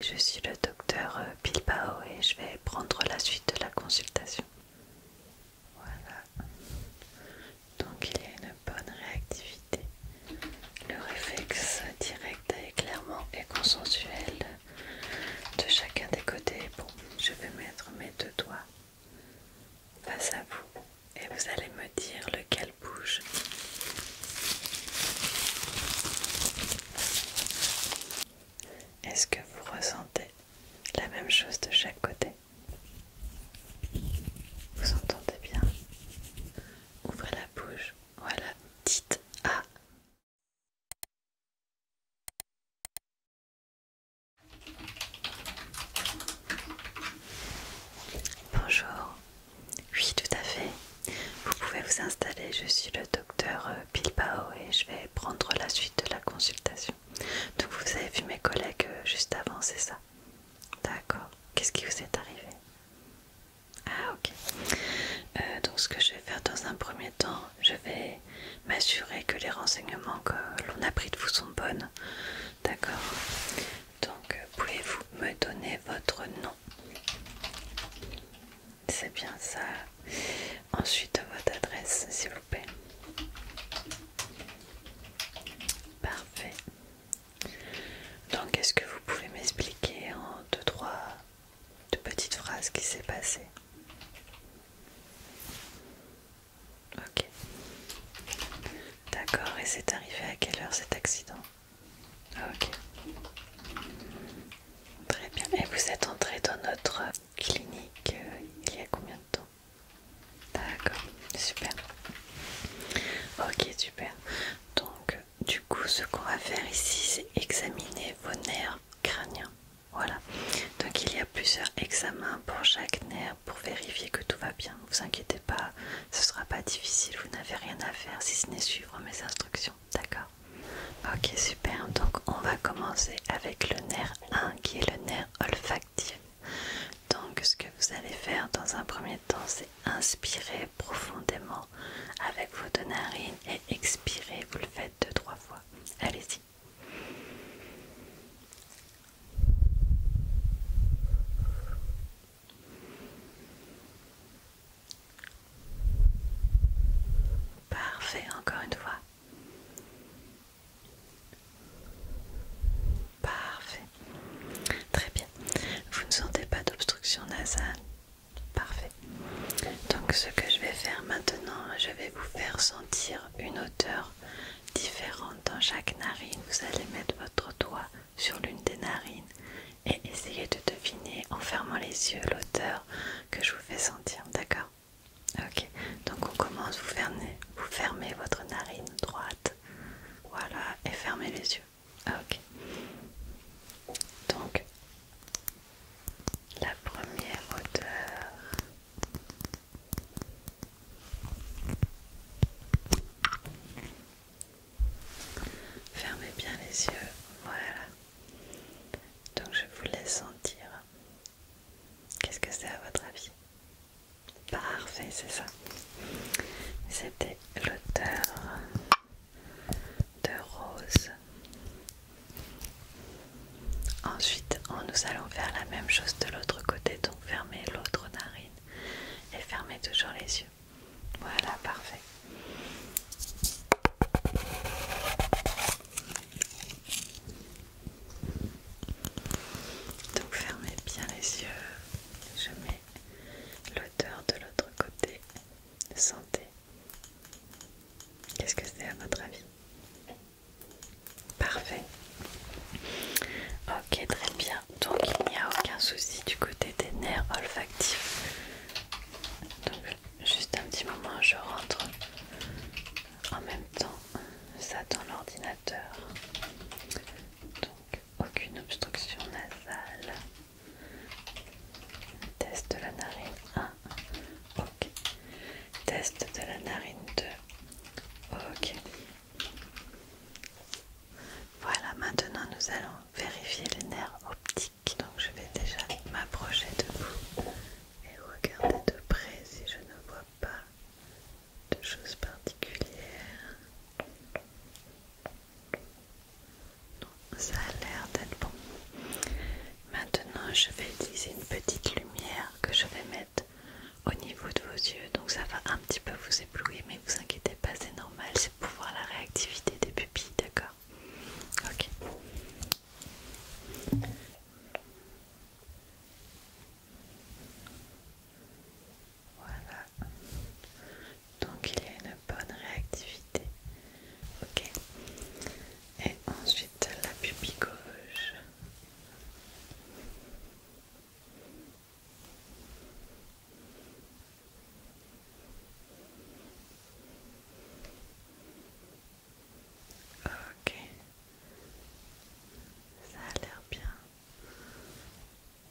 Je suis le docteur euh, Bilbao et je vais prendre la suite de la consultation. Voilà. Donc il y a une bonne réactivité. Le réflexe direct est clairement et consensuel de chacun des côtés. Bon, je vais mettre mes deux doigts face à vous et vous allez me dire lequel bouge. Est-ce que vous ressentez la même chose de chaque côté Vous entendez bien Ouvrez la bouche. Voilà. Dites A. Bonjour, oui, tout à fait. Vous pouvez vous installer. Je suis le docteur euh, Bilbao et je vais prendre la suite de la consultation. Donc vous avez vu mes collègues euh, juste avant, c'est ça D'accord. Qu'est-ce qui vous est arrivé Ah ok. Euh, donc ce que je vais faire dans un premier temps, je vais m'assurer que les renseignements que l'on a pris de vous sont bonnes. D'accord. Donc pouvez-vous me donner votre nom c'est bien ça. Ensuite, votre adresse, s'il vous plaît. Parfait. Donc, est-ce que vous pouvez m'expliquer en deux, trois deux petites phrases qui s'est passé Ok. D'accord, et c'est arrivé à quelle heure cet accident ah, ok. Très bien. Et vous êtes entré dans notre clinique euh, il y a combien de temps D'accord, super. Ok, super. Donc, du coup, ce qu'on va faire ici, c'est examiner vos nerfs crâniens. Voilà. Donc, il y a plusieurs examens pour chaque nerf pour vérifier que tout va bien. Ne vous inquiétez pas, ce sera pas difficile. Vous n'avez rien à faire si ce n'est suivre mes instructions, d'accord Ok, super. Donc, on va commencer avec le nerf 1 qui est le nerf olfactif. Donc, ce que vous allez faire dans un premier temps, c'est inspirer profondément avec vos deux narines et expirer. Vous le faites deux, trois fois. Allez-y. Parfait, encore une fois. Parfait. Très bien. Vous ne sentez pas d'obstruction nasale Parfait. Donc ce que je vais faire maintenant, je vais vous faire sentir une hauteur différente dans chaque narine. Vous allez mettre votre doigt sur l'une des narines et essayez de deviner en fermant les yeux l'odeur que je vous fais sentir, d'accord Ok, donc on commence, vous fermez, vous fermez votre narine droite, voilà, et fermez les yeux. Ok, donc la première odeur. Fermez bien les yeux, voilà. Donc je vous laisse sentir. Qu'est-ce que c'est à votre avis Parfait, c'est ça. C'était l'auteur de Rose. Ensuite, oh, nous allons faire la même chose de l'autre côté. Donc fermez l'autre narine et fermez toujours les yeux. Voilà, parfait. Donc fermez bien les yeux. Je mets l'odeur de l'autre côté. Sentez. Qu'est-ce que c'est à votre avis Parfait. Ok, très bien donc il n'y a aucun souci du côté des nerfs olfactifs. Donc juste un petit moment, je rentre en même temps ça dans l'ordinateur. Donc aucune obstruction nasale. Test de la narine 1. Ok. Test de la narine 2. Ok. Voilà, maintenant nous allons vérifier les nerfs optiques. Donc je vais déjà m'approcher de vous et regarder de près si je ne vois pas de choses particulières. ça a l'air d'être bon. Maintenant je vais utiliser une petite lumière que je vais mettre au niveau de vos yeux, donc ça va un petit peu vous éblouir, mais vous inquiétez pas, c'est normal, c'est pour voir la réactivité des pupilles, d'accord Ok. Voilà. Donc il y a une bonne réactivité. Ok. Et ensuite la pupille gauche. Ok, ça a l'air bien.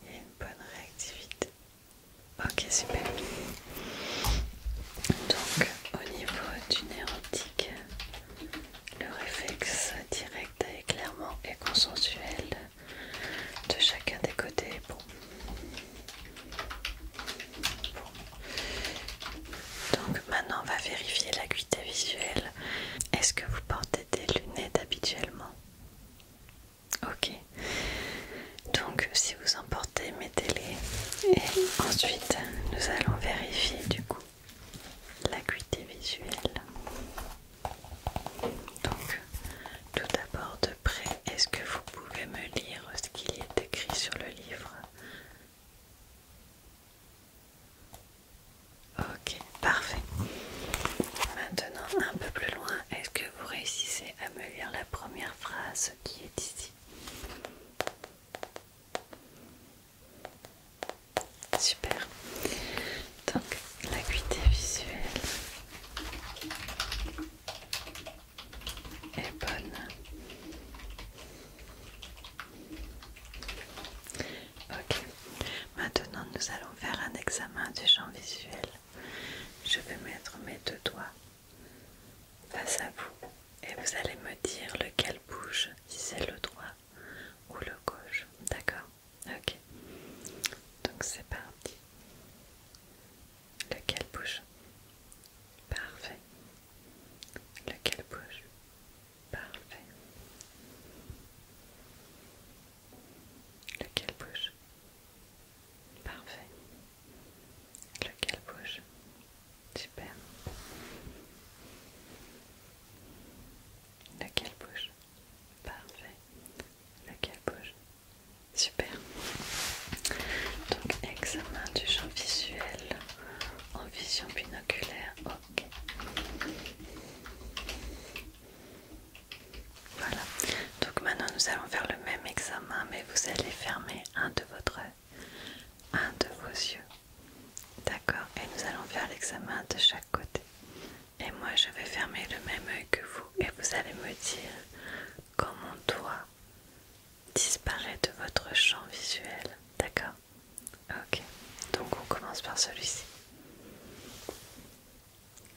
Il y a une bonne réactivité. Ok, super. Donc, au niveau du érotique, le réflexe direct est clairement et consensuel de chacun des côtés. Bon. Donc maintenant on va vérifier l'acuité visuelle. Est-ce que vous portez des lunettes habituellement Ok. Donc si vous en portez, mettez-les. Et ensuite nous allons vérifier du coup l'acuité visuelle. Donc, tout d'abord de près, est-ce que vous pouvez me lire ce qu'il est écrit sur le livre Ok, parfait. Maintenant, un peu plus loin, est-ce que vous réussissez à me lire la première phrase qui est ici Super. Donc l'acuité visuelle est bonne. Ok. Maintenant nous allons faire un examen du champ visuel. Je vais mettre mes deux doigts face à vous et vous allez me dire lequel bouge, si c'est le droit ou le gauche. D'accord Ok. Donc c'est parti. Lequel bouge Parfait. Lequel bouge Parfait. Lequel bouge Parfait. Lequel bouge Super. Lequel bouge Parfait. Lequel bouge Super. Donc, examen du champ visuel en vision binoculaire. Ok. Voilà. Donc maintenant, nous allons faire le même examen, mais vous allez fermer un de votre un de vos yeux D'accord, et nous allons faire l'examen de chaque côté. Et moi je vais fermer le même œil que vous et vous allez me dire quand mon doigt disparaît de votre champ visuel. D'accord Ok, donc on commence par celui-ci.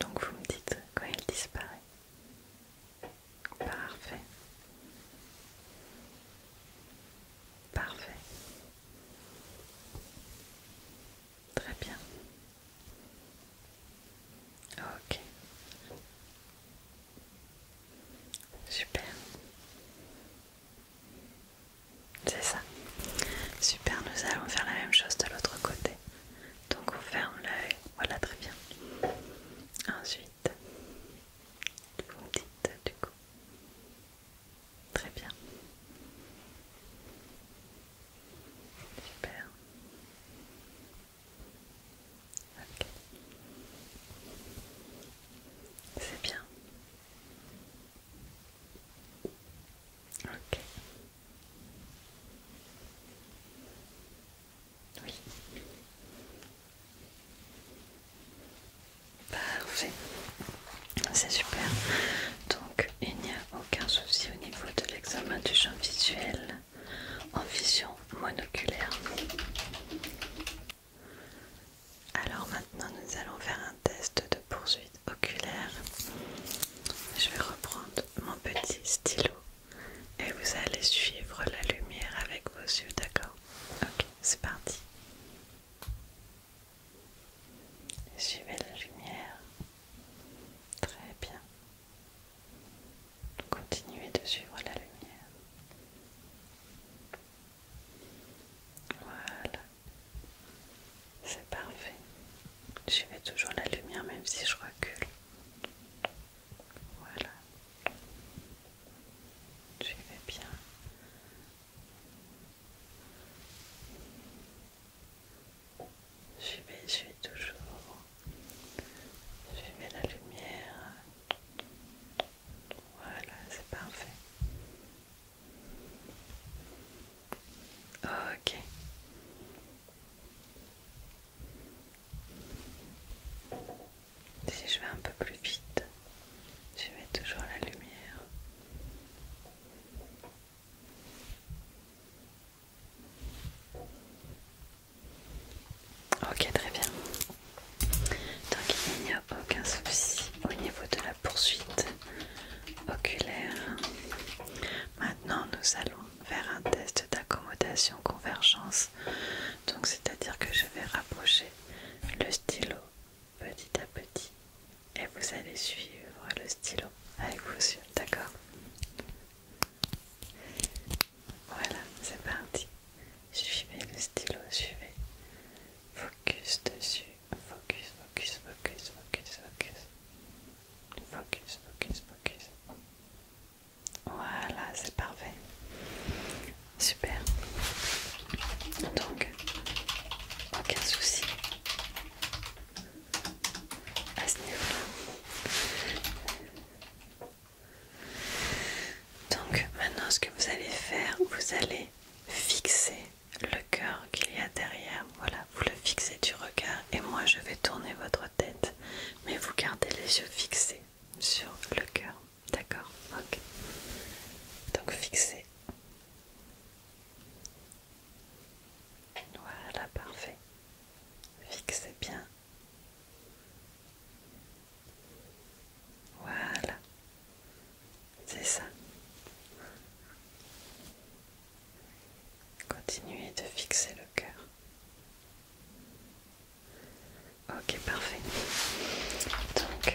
Donc vous me dites quand il disparaît. Parfait. Parfait. Très bien. Ok. Super. C'est ça. Super, nous allons faire la même chose de l'autre côté. Donc on ferme l'œil. Voilà, très bien. Ensuite, vous dites du coup. Très bien. Super. Ok. C'est bien. Ok. Oui. Parfait, bah, c'est super. Donc il n'y a aucun souci au niveau de l'examen du champ visuel en vision monoculaire. Alors maintenant nous allons faire un test de poursuite oculaire. Je vais reprendre mon petit stylo et vous allez suivre la lumière avec vos yeux, d'accord Ok, c'est parti. Suivez la lumière. Très bien. Continuez de suivre la lumière. Voilà. C'est parfait. Suivez toujours la lumière même si je recule. Voilà. Suivez bien Suivez, suivez toujours. Suivez la lumière. Voilà, c'est parfait. Ok. Si je vais un peu plus vite, je mets toujours la lumière. Ok, très bien. Donc il n'y a aucun souci au niveau de la poursuite oculaire. Maintenant, nous allons faire un test d'accommodation convergence. Donc c'est-à-dire que je vais rapprocher le stylo petit à petit et vous allez suivre le stylo avec vos yeux, d'accord Voilà, c'est parti. Suivez le stylo, suivez. Focus dessus, focus, focus, focus, focus, focus. Focus, focus, focus. Voilà, c'est parfait. Super. Donc, aucun souci à ce niveau-là. Donc, maintenant, ce que vous allez faire, vous allez fixer le cœur qu'il y a derrière. Voilà, vous le fixez du regard et moi je vais tourner votre tête, mais vous gardez les yeux fixés sur le cœur. D'accord, ok. Donc fixer. Voilà, parfait. Fixez bien. Voilà. C'est ça. Continuez de fixer le cœur. Ok, parfait. Donc,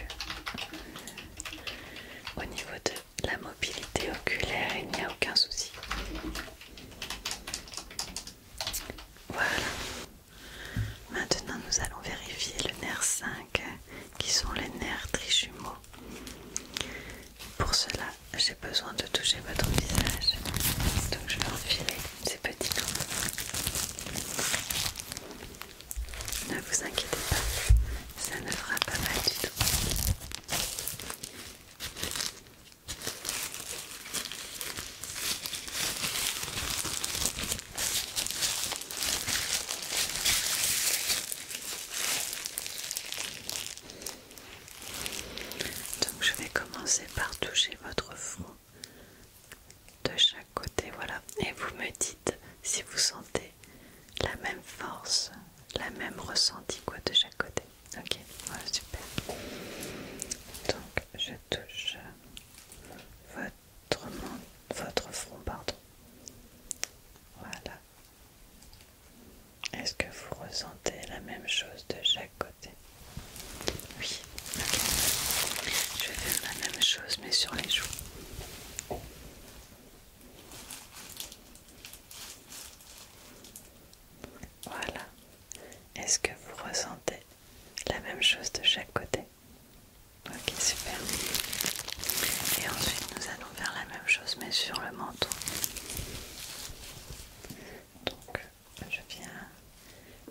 au niveau de la mobilité oculaire, il n'y a aucun souci. Voilà. Maintenant, nous allons vérifier le nerf 5, qui sont les nerfs trijumeaux. Pour cela, j'ai besoin de toucher votre visage. Donc, je vais enfiler c'est petit hein. Ne vous inquiétez pas, ça ne fera pas mal du tout. Donc je vais commencer par toucher votre fond de chaque côté, voilà. Et vous me dites si vous sentez la même force, la même ressenti quoi de chaque côté. Ok, voilà, super. Donc je touche votre, votre front, pardon. Voilà. Est-ce que vous ressentez la même chose de chaque côté oui, ok. Je vais faire la même chose mais sur les joues. Voilà. Est-ce que vous ressentez la même chose de chaque côté Ok, super. Et ensuite, nous allons faire la même chose mais sur le menton. Donc, je viens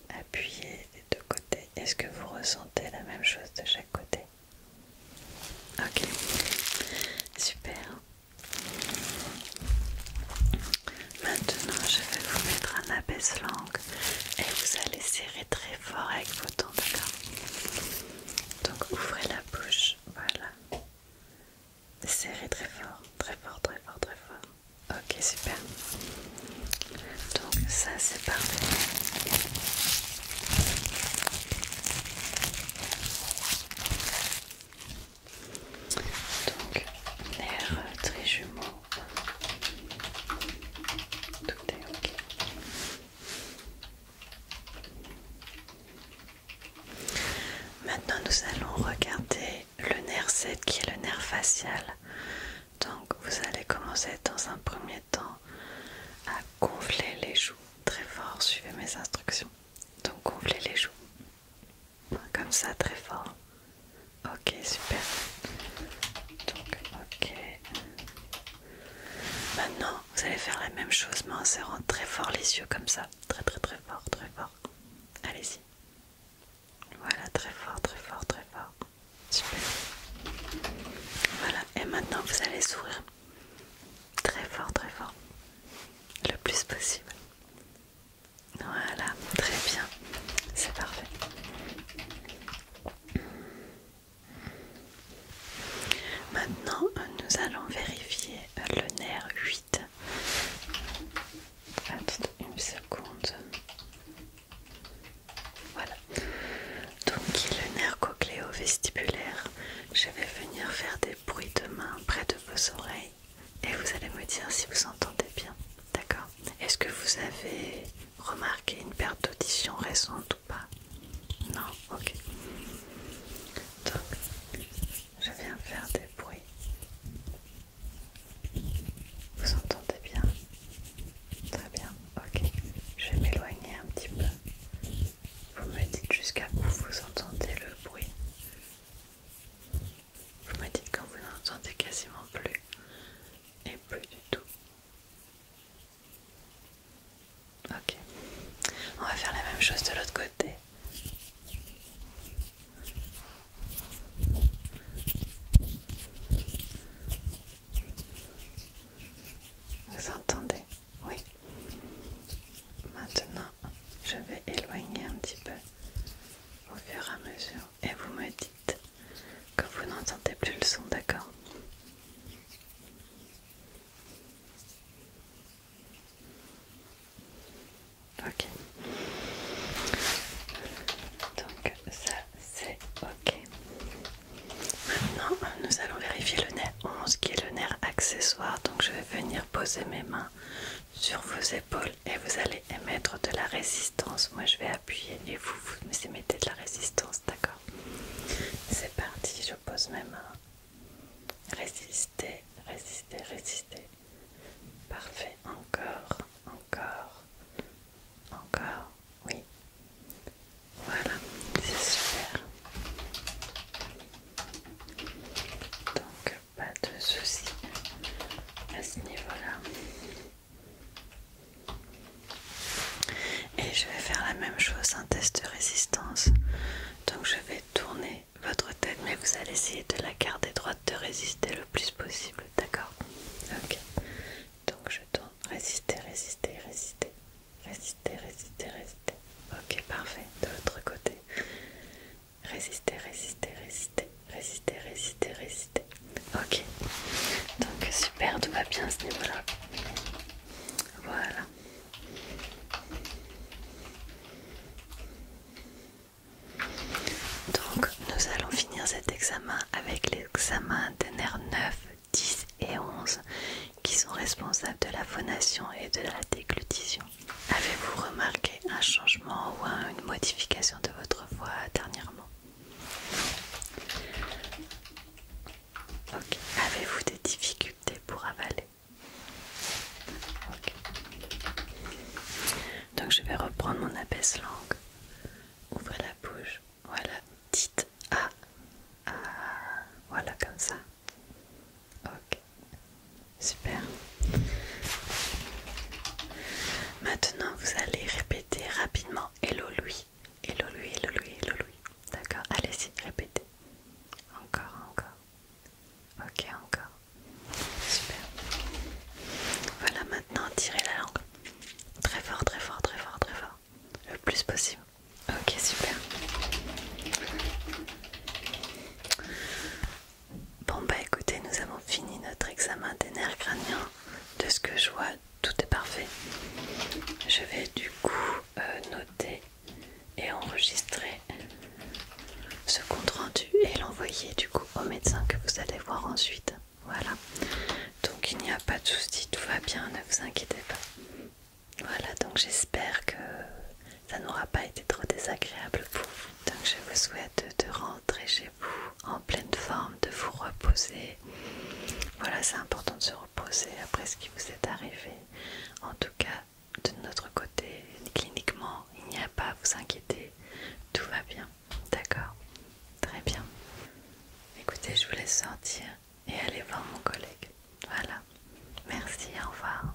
appuyer les deux côtés. Est-ce que vous ressentez la même chose de chaque côté Ok, super. Maintenant, je vais vous mettre un abaisse-langue et vous allez serrer très fort avec vos dents, d'accord Donc, ouvrez la bouche, voilà. Serrez très fort, très fort, très fort, très fort. Ok, super. Donc ça c'est parfait. Donc l'air très jumeau. Tout est ok. Maintenant nous allons regarder le nerf 7 qui est le nerf facial. Donc vous allez commencer dans un premier temps à gonfler les joues très fort, suivez mes instructions. Donc gonflez les joues. Comme ça très fort. Ok, super. Donc ok. Maintenant, vous allez faire la même chose mais en serrant très fort les yeux comme ça. Très très très fort, très fort. Allez-y. Voilà, très fort, très fort, très fort. Super. Voilà, et maintenant vous allez sourire très fort, très fort. Le plus possible. Voilà, très bien. C'est parfait. Maintenant, nous allons vérifier le nerf 8 une seconde. Voilà. Donc le nerf cochléo vestibulaire. Je vais venir faire des bruits de main près de vos oreilles et vous allez me dire si vous entendez bien. D'accord Est-ce que vous avez remarqué une perte d'audition récente ou pas Non Ok. Donc, je viens faire des bruits vous entendez bien Très bien, ok. Je vais m'éloigner un petit peu. Vous me dites jusqu'à où vous entendez le bruit. Vous me dites quand vous n'entendez quasiment plus et plus du tout. Ok. On va faire la même chose de l'autre côté. Vous entendez Oui. Maintenant, je vais éloigner un petit peu au fur et à mesure et vous me dites que vous n'entendez plus le son, d'accord Ok. Donc ça c'est ok. Maintenant nous allons vérifier le nerf 11 qui est le nerf accessoire. Donc je vais venir poser mes mains sur vos épaules et vous allez émettre de la résistance. Moi je vais appuyer et vous, vous émettez de la résistance, d'accord C'est parti, je pose mes mains. Résistez, résistez, résistez. Parfait, encore, encore, encore, oui. Voilà, c'est super. Donc, pas de soucis à ce niveau-là. Et je vais faire la même chose, un test de résistance. Donc je vais tourner votre tête, mais vous allez essayer de la garder droite, de résister le plus possible, d'accord Ok. Donc je dois résister, résister, résister, résister, résister, résister. Ok, parfait. De l'autre côté. Résister, résister, résister, résister, résister, résister. Ok. Donc super, tout va bien ce niveau-là. Voilà. Donc nous allons finir cet examen avec l'examen des nerfs 9, 10 et 11 qui sont responsables de la phonation et de la déglutition. Avez-vous remarqué un changement ou une modification de votre voix dernièrement Ok, avez-vous des difficultés pour avaler donc je vais reprendre mon abaisse langue. Ouvrez la bouche. Voilà. Dites A Voilà comme ça. Ok. Super. Maintenant vous allez répéter rapidement Hello Louis. Hello lui, hello Louis, hello Louis. D'accord Allez-y, répétez. Encore, encore. Ok, encore. Super. Voilà, maintenant tirez la langue. Très fort, très fort, très fort, très fort. Le plus possible. Ok, super. Bon bah écoutez, nous avons fini notre examen des nerfs crâniens. De ce que je vois, tout est parfait. Je vais du coup euh, noter et enregistrer ce compte rendu et l'envoyer du coup au médecin que vous allez voir ensuite. Voilà. Donc il n'y a pas de souci, tout va bien, ne vous inquiétez pas. Voilà, donc j'espère que ça n'aura pas été trop désagréable pour vous. Donc je vous souhaite de rentrer chez vous en pleine forme, de vous reposer. Voilà, c'est important de se reposer après ce qui vous est arrivé. En tout cas, de notre côté, cliniquement, il n'y a pas à vous inquiéter, tout va bien, d'accord Très bien. Écoutez, je vous laisse sortir et aller voir mon collègue. Voilà. Merci, au revoir.